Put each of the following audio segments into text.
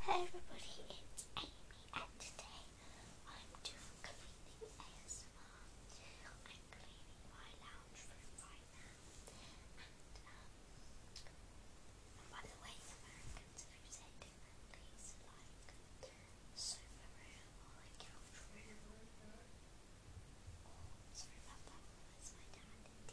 Hey everybody, it's Amy and today I'm doing cleaning ASMR. I'm cleaning my lounge room right now and, by the way Americans use it differently, so like sofa room or like couch room or, sorry about that's my dad TV.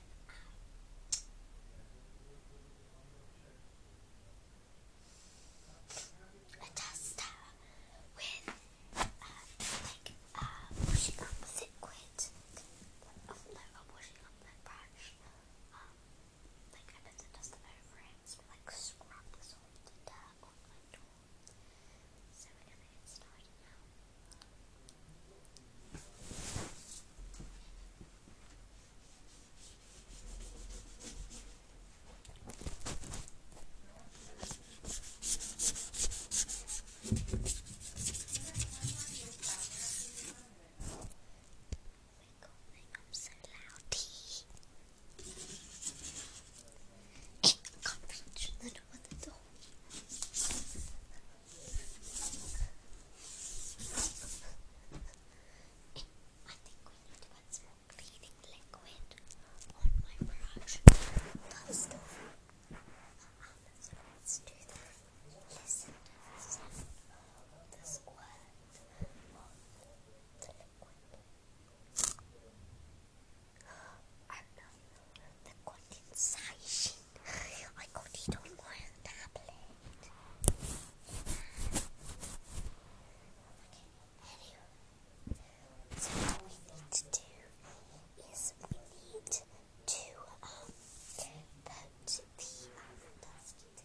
a duster with uh, like a uh, washing up liquid. Oh, no, I'm washing up the brush. like I put the duster over it, like scrub the sort dirt on my door. So we're gonna get now. I'm so loud. Can't the 我的头。I think we need one more cleaning liquid on my brush. That's the um, so let Listen to the sound of the liquid. I'm not I got it on my tablet. So what we need to do is we need to um the um, dusty to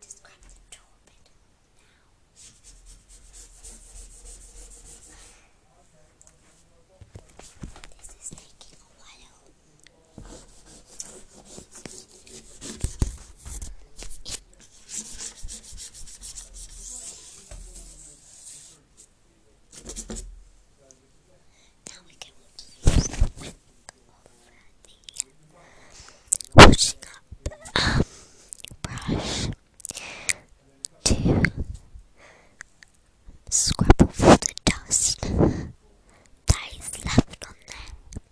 Just we can the door now. This is taking a while. Now we can use the link of the washing up um, brush to scrub off the dust that is left on there.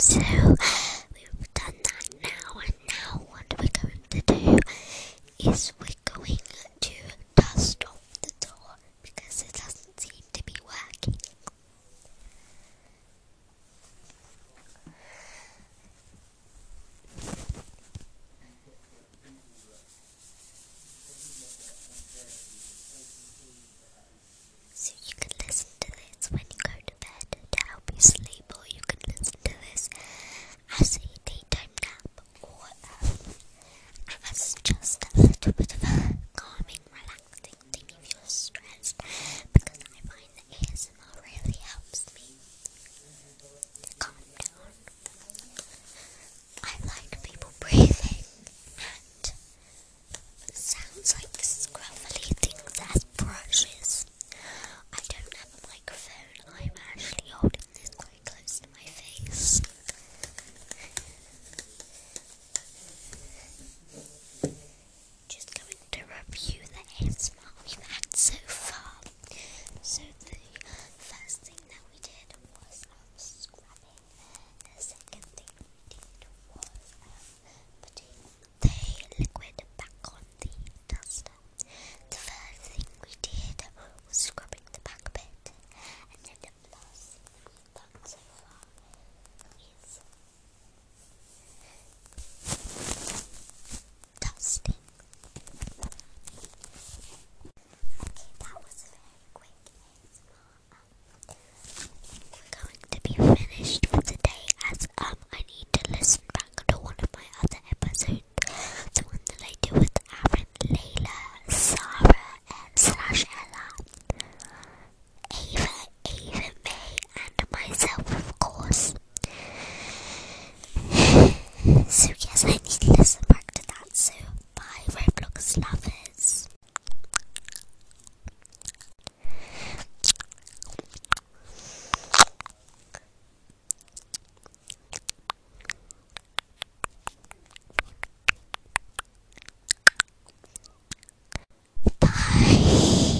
So we've done that now, and now what we're going to do is we're going to dust off the door because it doesn't seem to be working. So you can listen to this when you go to bed to help you sleep, or you can listen to this as a daytime nap, or um, as just a little bit of a calming, relaxing thing if you're stressed, because I find that ASMR really helps me calm down. I like people breathing and sounds like scruffly things as brushes. I don't have a microphone, I'm actually holding this quite close to my face. Just going to review the ASMR we've had so far. So the first thing that we did was um, scrubbing. The second thing we did was um, putting the liquid back on the duster. The first thing we did was scrubbing the back bit. And then the last thing we've done so far is dusting that was very quick we're going to be finished for today as um I need to listen back to one of my other episodes. The one that I do with Aaron, Layla, Sarah, and slash Ella. Ava, Ava, May, and myself, of course. so, yes, I need to listen back to that. So, bye, Roblox lovers. Bye.